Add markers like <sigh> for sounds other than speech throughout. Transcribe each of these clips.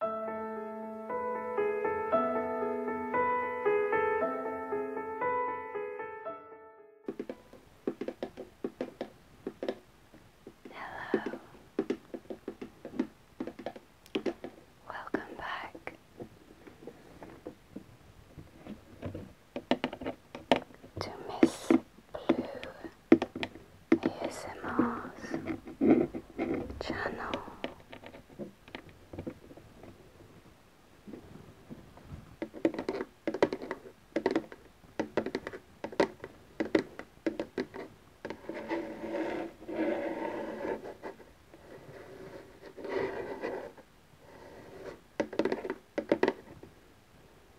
Hello. Welcome back. To Miss Blue ASMR's channel.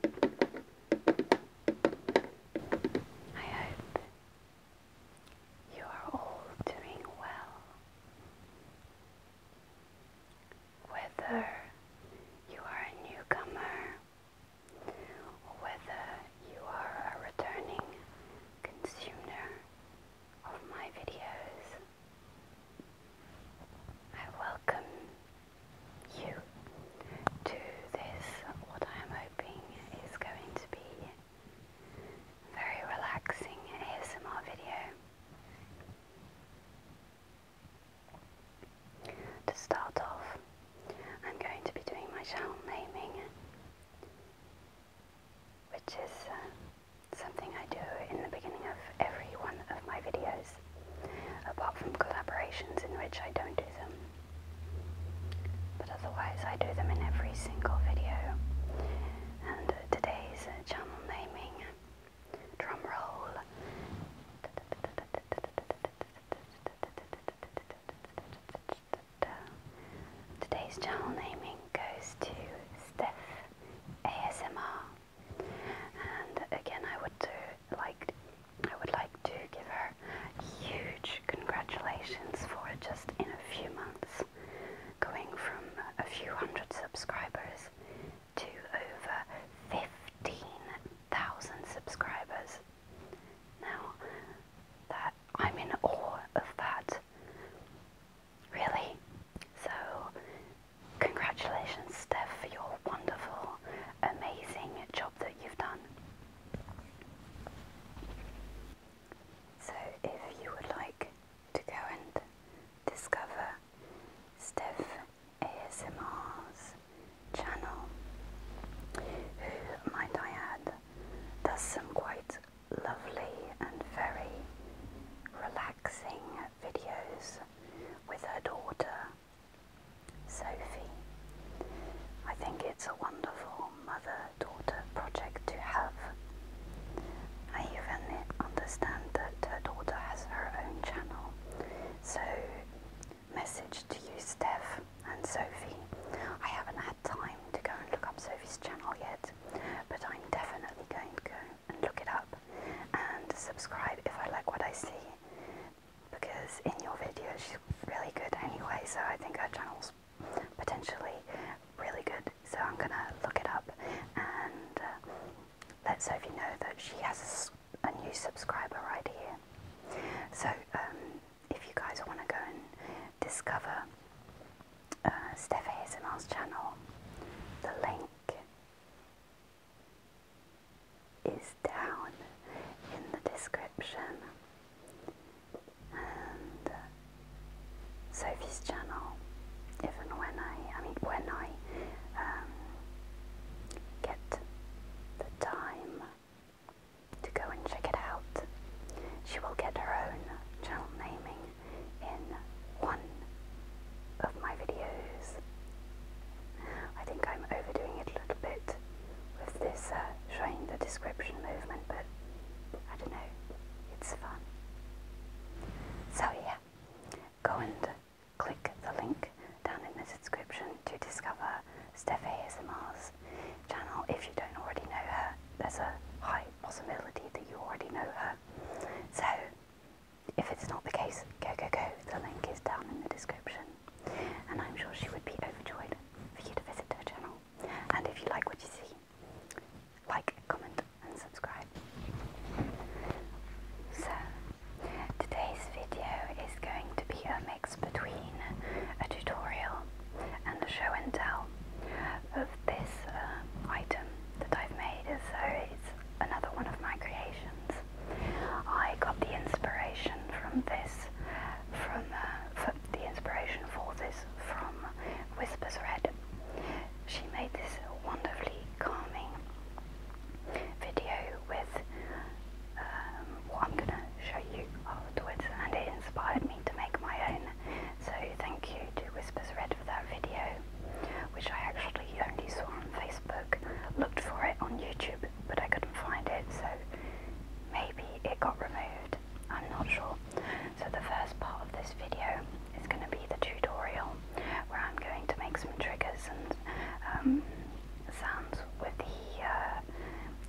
I hope you are all doing well. Whether you are a newcomer or whether you are a returning consumer of my videos, I welcome you to this, what I am hoping is going to be very relaxing ASMR video. To start off, I'm going to be doing my channel naming, which is uh, something I do in the beginning of every one of my videos, apart from collaborations in which I don't do them. But otherwise, I do them in every single video. And today's channel naming, drum roll. Today's channel naming goes to Steph ASMR, and again, I would do like I would like to give her huge congratulations for just in a few months going from a few hundred subscribers to over 15,000 subscribers. Now, that I'm in awe of that. Really? So, congratulations, Steph, for your wonderful, amazing job that you've done. So, if you would like to go and discover Steph ASMR's channel, who, might I add, does some quite lovely and very relaxing videos with her daughter Sophie. I think it's a wonderful mother daughter project to have. I even understand that her daughter has her own channel. So, message to you, Steph and Sophie. I haven't had time to go and look up Sophie's channel yet, but I'm definitely going to go and look it up and subscribe if I like what I see because in your video she's really good anyway, so I think her channel's potentially really good. So I'm gonna look it up and uh, let Sophie know that she has a, new subscriber right here. So um, if you guys want to go and discover uh, Steph channel, the link is down in the description. And uh, Sophie's channel, Even when I, I mean, when I um, get the time to go and check it out, she will get her own channel naming in one of my videos. I think I'm overdoing it a little bit with this uh, showing the description movement, but I don't know, it's fun. So yeah, go and click the link down in the description to discover Steph ASMR's channel if you don't already know her. There's a high possibility that you already know her. So if it's not the case, go, go, go. The link is down in the description and I'm sure she would be overjoyed for you to visit her channel. And if you like what you see, like, comment, and subscribe. So, today's video is going to be a mix between a tutorial and a show and tell of this uh, item that I've made. So, it's another one of my creations. I got the inspiration from this uh, from the inspiration for this from Whispers Red. She made this wonderfully calming video with um, what I'm gonna show you afterwards, and it inspired me to make my own. So thank you to Whispers Red for that video, which I actually only saw on Facebook. Looked for it on YouTube but I couldn't find it, so maybe it got removed. I'm not sure. So the first part of this video is going to be the tutorial where I'm going to make some triggers and um, sounds with the uh,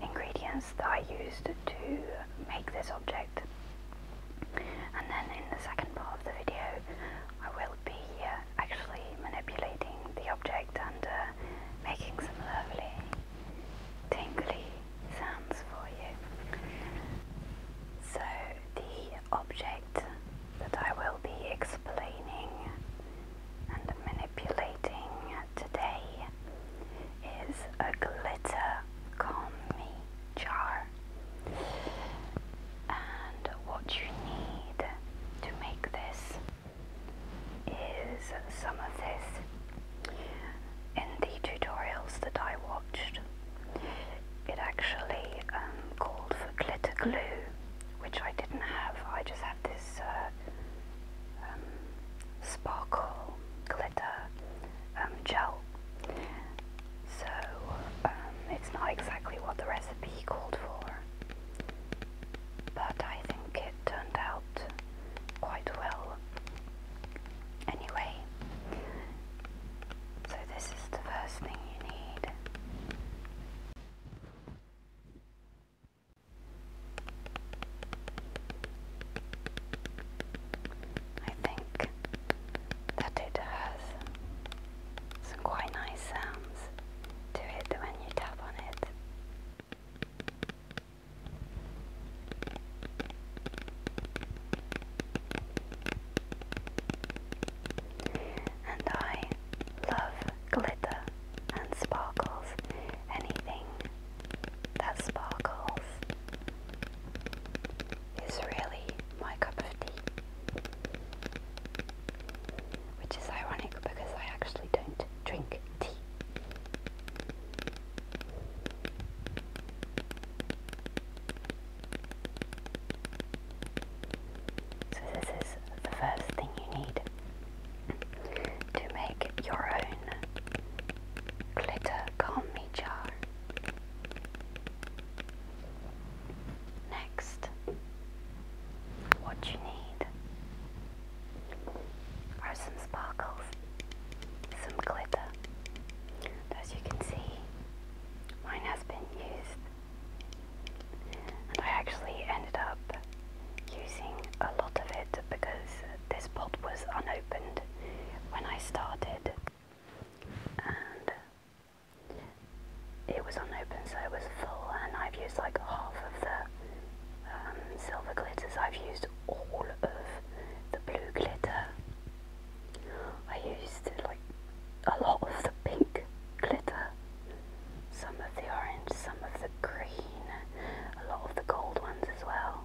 ingredients that I used to make this object. And then in the second part of the video I will be uh, actually manipulating the object and uh, making some lovely tingly sounds for you. So, the object that I will be explaining and manipulating today is a glitter combi jar. And what you need to make this is some of this in the tutorials that I watched. It actually um, called for glitter glue, which I didn't have. I just had this uh, um, sparkle glitter um, gel. So um, it's not exactly what the recipe called for but I think it turned out quite well. Anyway, so this is the first thing you need. I think that it has some quite nice sounds to it when you tap on it. And I love glitter and sparkles, anything that sparkles is really my cup of tea. Which is ironic because I actually don't drink tea. So this is the first thing you need to make your own glitter combi jar. Next, what you need are some sparkles, some glitter. As you can see, mine has been used, and I actually ended up using a lot of it because this pot was unopened when I started, and it was unopened, so it was full, and I've used like half of the um, silver glitters. I've used all of the blue glitter. I used like a lot of the pink glitter, some of the orange, some of the green, a lot of the gold ones as well.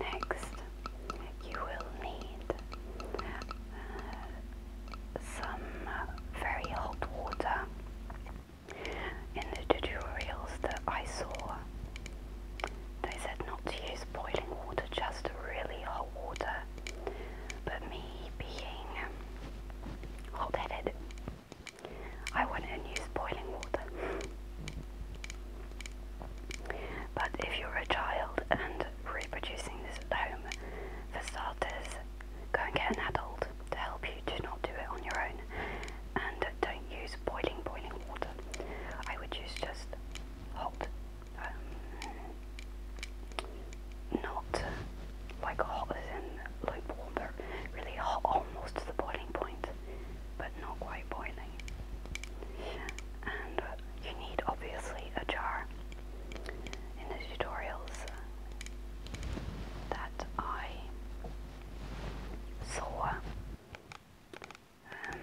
Next, you will need uh, some uh, very hot water. In the tutorials that I saw, they said not to use boiling water, just really hot water. But me being hot headed, I would and used boiling water. But if you're a child and reproducing this at home, for starters, go and get an adult to help you. Do not do it on your own. And don't use boiling, boiling water. I would use just hot, um, not like hot as in lukewarm, but really hot almost to the boiling point but not quite boiling. And you need obviously a jar. In the tutorials that I saw, um,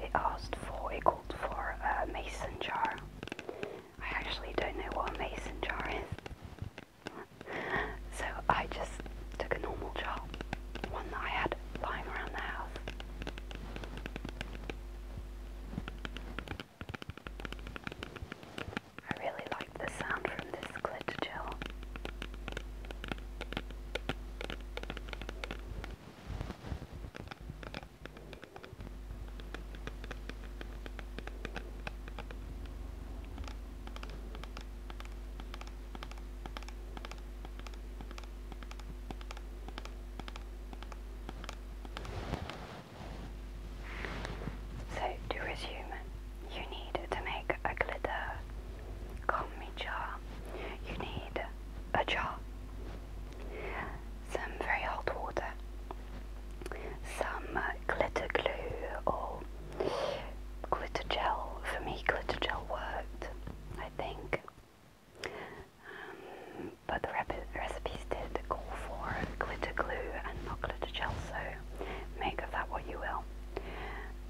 it asked for, it called for a mason jar. I actually don't know what mason jar is so I just took a normal job, one that I had lying around the house. I really like the sound from this glitter gel. So, to resume, you need to make a glitter combi jar. You need a jar, some very hot water, some uh, glitter glue or Glitter gel, for me, glitter gel worked, I think. Um, but the recipes did call for glitter glue and not glitter gel, so make of that what you will.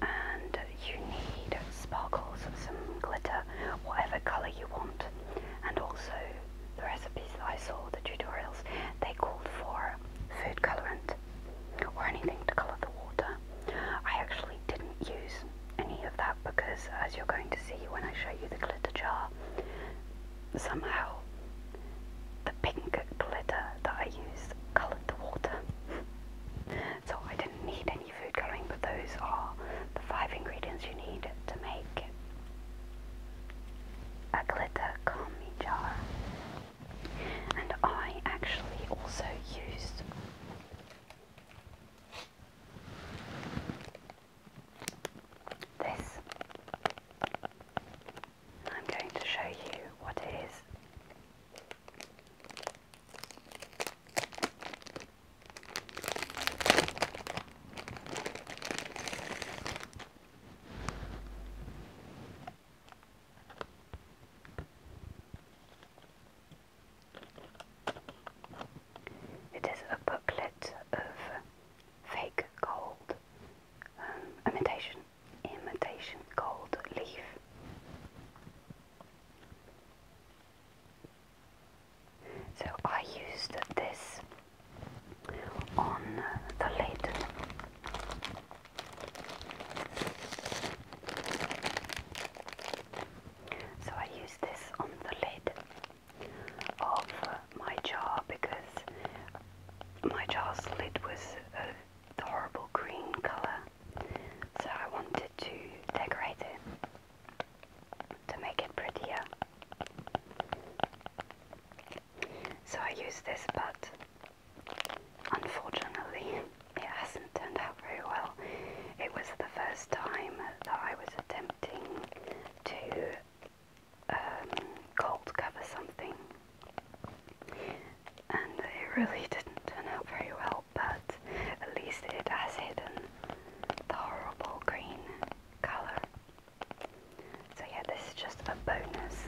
And you need sparkles of some glitter, whatever colour you want. And also, the recipes that I saw, the tutorials, they called for food colourant, or anything to colour the water. I actually didn't use any of that because, as you're going to see when I show you the glitter jar, somehow the pink glitter that I used coloured the water. <laughs> so I didn't need any food colouring, but those are the five ingredients you need to make a glitter commie jar. And I actually also used this. I'm going to show you what it is. It is a booklet of fake gold, um, imitation, imitation gold leaf. So I used this on the lid so I use this on the lid of my jar because my jar's lid was uh, horrible green colour. So I wanted to decorate it to make it prettier. So I use this, but Unfortunately, it hasn't turned out very well. It was the first time that I was attempting to um, cold cover something, and it really <laughs> didn't turn out very well, but at least it has hidden the horrible green colour. So, yeah, this is just just a bonus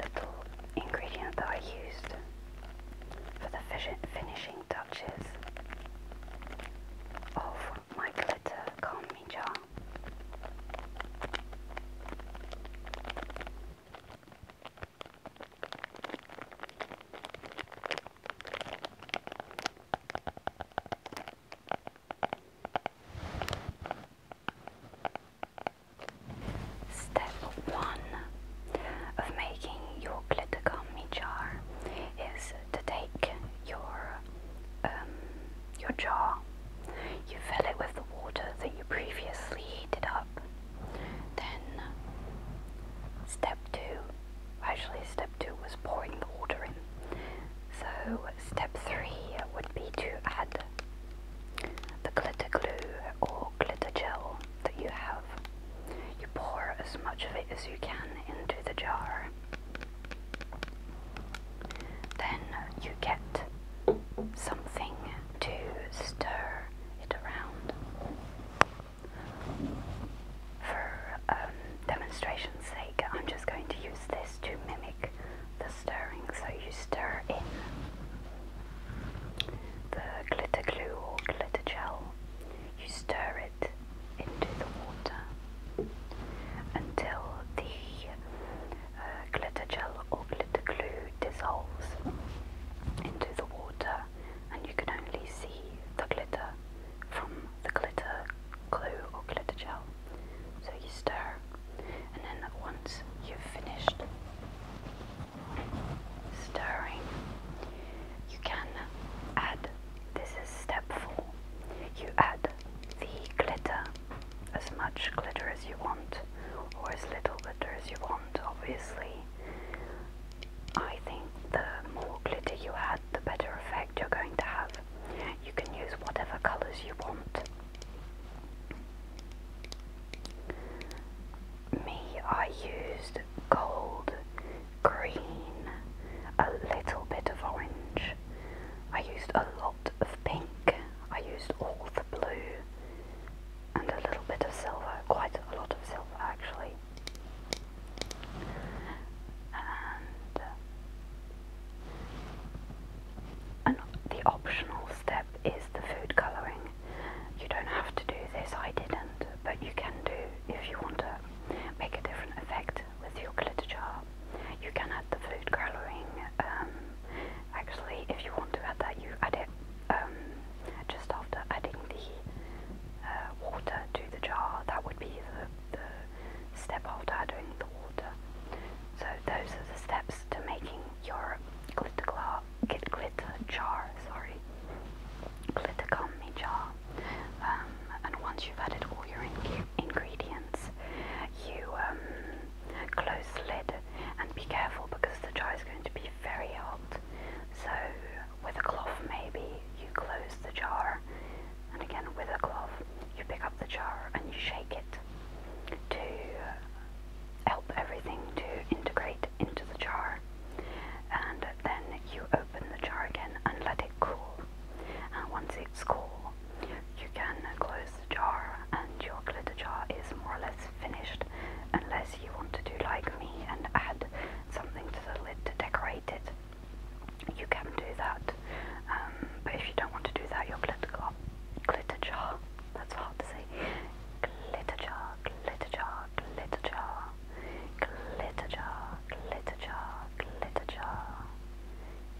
little ingredient that I used for the finishing touches of my glitter calming jar. Step 1 of making your glitter gummy jar is to take your um, your jar, you fill it with the water that you previously heated up. Then step 2, actually step 2 was pouring the water in. So step 3 would be to add the glitter glue or glitter gel that you have. You pour as much of it as you can into the jar. Then you get something to stir it around. For um, demonstration's sake, I'm just going to use this to mimic the stirring, so you stir in the glitter glue or glitter gel, you stir it into the water until the uh, glitter gel or glitter glue dissolves into the water and you can only see the glitter from the glitter glue or glitter gel. So you stir and then once you've finished stirring, you can add this is step four you add the glitter, as much glitter as you want, or as little glitter as you want, obviously. I think the more glitter you add, the better effect you're going to have. You can use whatever colors you want. Me, I used gold, green, a little bit of orange. I used a lot of pink. I used all the blue and a little bit of silver, quite a lot of silver actually. And, uh, the optional step is the food colouring. You don't have to do this, I didn't, but you can do if you want to make a different effect with your glitter jar. You can add the food colouring, um, actually if you want to add that you add it um, just after adding the uh, water to the jar, that would be the step after adding the water. So those are the steps to making your glitter, claw, glitter jar, sorry, glitter gummy jar. Um, and once you've added all your ingredients, you um, close the lid and be careful because the jar is going to be very hot. So with a cloth maybe you close the jar and again with a cloth you pick up the jar and you shake it to help everything to integrate into the jar and then you open the jar again and let it cool and once it's cool you can close the jar and your glitter jar is more or less finished unless you want to do like me and add something to the lid to decorate it you can do that um, but if you don't want to do that your glitter, glitter jar that's hard to say glitter jar, glitter jar, glitter jar, glitter jar, glitter jar, glitter jar,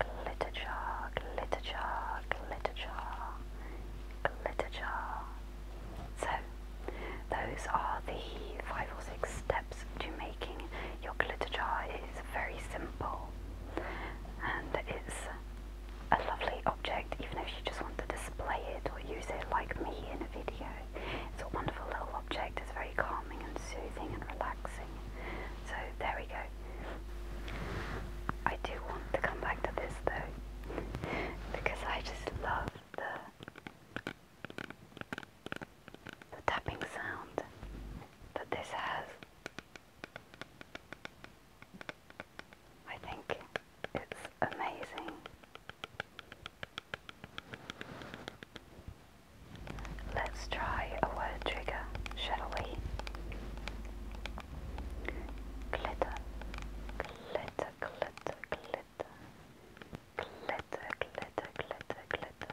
glitter jar, glitter jar, glitter jar, glitter jar. So, those are the five or six steps to making your glitter jar. It is very simple and it's a lovely object, even if you just want to display it or use it like me in a video. It's a wonderful little object, it's very calming and soothing and relaxing. So there we go. I do want to come back to this though, because I just love the, the tapping sound that this has. I think it's amazing. Let's try a word trigger, shall we? Glitter, glitter, glitter, glitter, glitter, glitter, glitter, glitter, glitter,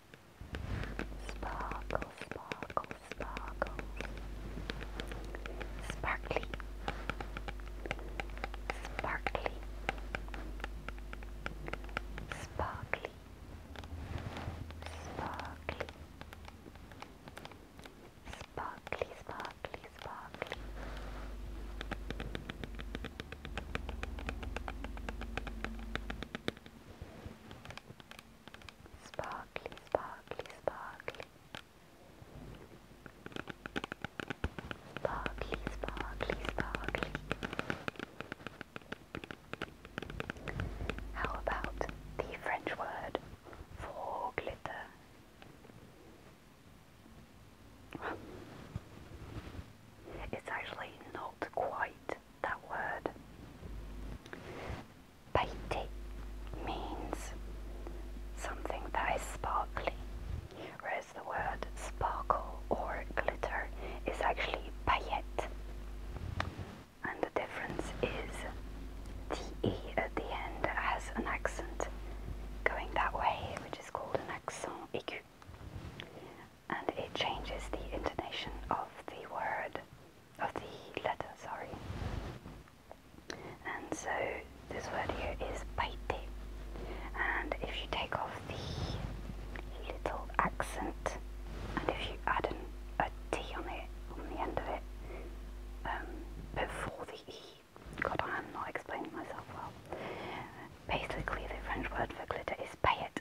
Sparkle, sparkle, sparkle. Sparkly. Sparkly. Sparkly. Sparkly. Sparkly, sparkly, sparkly. Sparkly, sparkly, sparkly. Sparkly, sparkly, sparkly. How about the French word for glitter? It's actually not quite that word. Paite means something that is sparkly, whereas the word sparkle or glitter is actually paillette. And the difference is the E at the end has an accent going that way, which is called an accent aigu. And it changes the intonation of the word of the letter, sorry. And so this word here is baite. And if you take off the little accent and if you add an, a T on it, on the end of it, um, before the E, God, I am not explaining myself well. Basically, the French word for glitter is payette,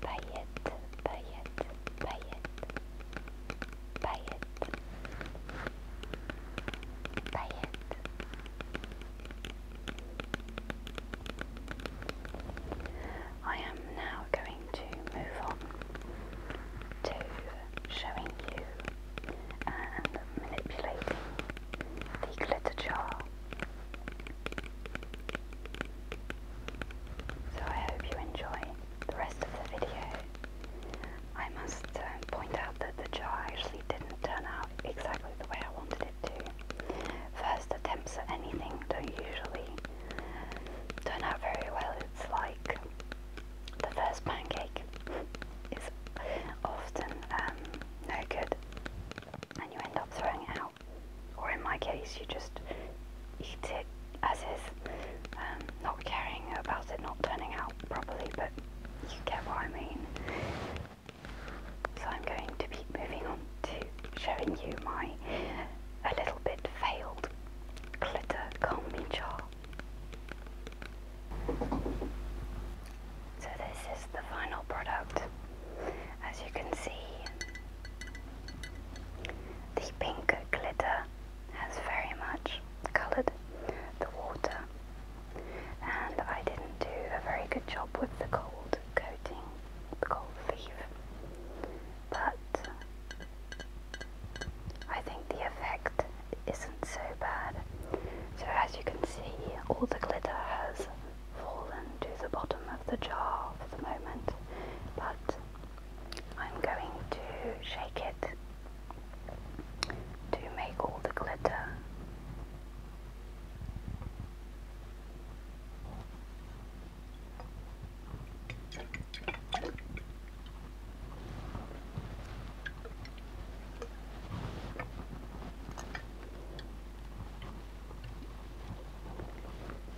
paillette, paillette, paillette, paillette, paillette. I am now going to move on to showing you and manipulating the glitter jar. So I hope you enjoy the rest of the video. I must um, point out that the jar actually didn't turn out exactly the way I wanted it to. First attempts at anything don't usually turn out very well. It's like the first pancake is often um, no good and you end up throwing it out or in my case, you just eat it as is, um, not caring about it not turning out properly, but you get what I mean. So I'm going to be moving on to showing you my a little bit failed glitter combi jar. So this is the final product. As you can see, the pink glitter has very much coloured the water, and I didn't do a very good job with the gold coating, the gold leaf, but I think the effect isn't so bad. So, as you can see, all the glitter has fallen to the bottom of the jar for the moment, but I'm going to shake it to make all the glitter.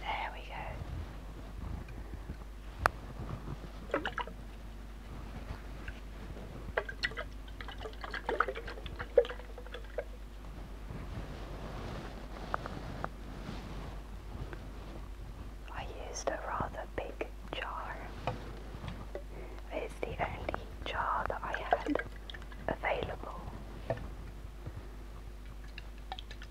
There we go. I used a rather big jar. It's the only jar that I had available.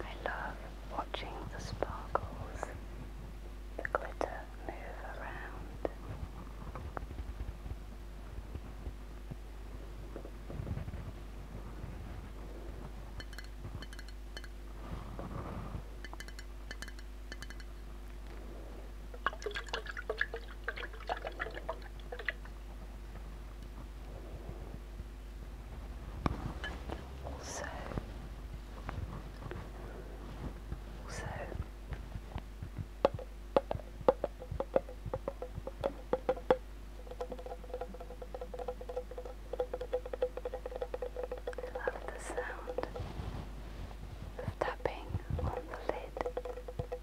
I love watching the sparkles, the glitter move around. Also, also. I love the sound of tapping on the lid.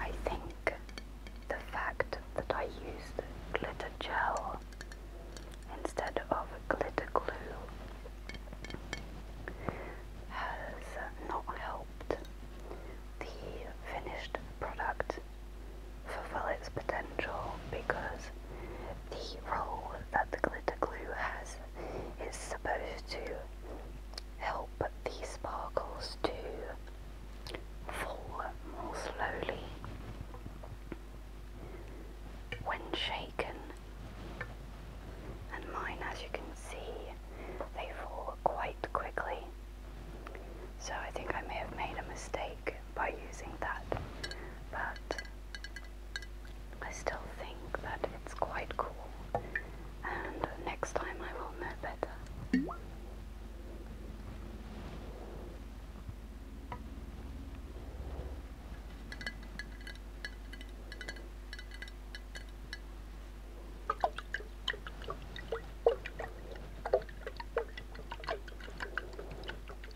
I think the fact that I used glitter gel instead of glitter glue has not helped the finished product fulfill its potential because the role that the glitter glue has is supposed to help the sparkles to fall more slowly. When shaken, and mine, as you can see, they fall quite quickly. So I think I may have made a mistake by using that, but I still think that it's quite cool, and next time I will know better.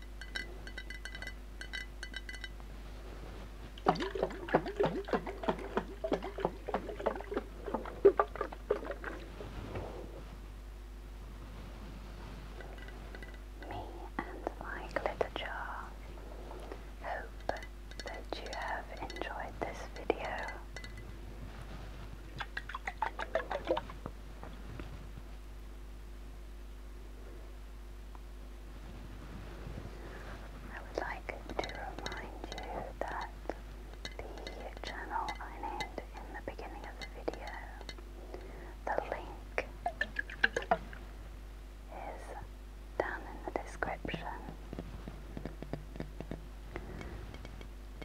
my glitter jar. Hope that you have enjoyed this video. I would like to remind you that the channel I named in the beginning of the video, the link is down in the description,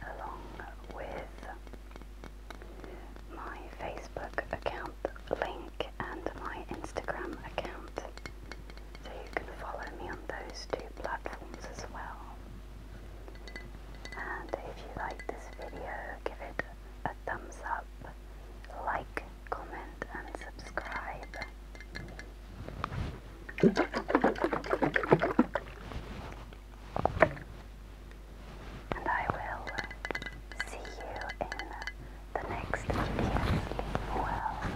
along with my Facebook account link and my Instagram account. So you can follow me on those two platforms as well. And if you like this video, give it a thumbs up, like, comment, and subscribe. And I will see you in the next video. Well,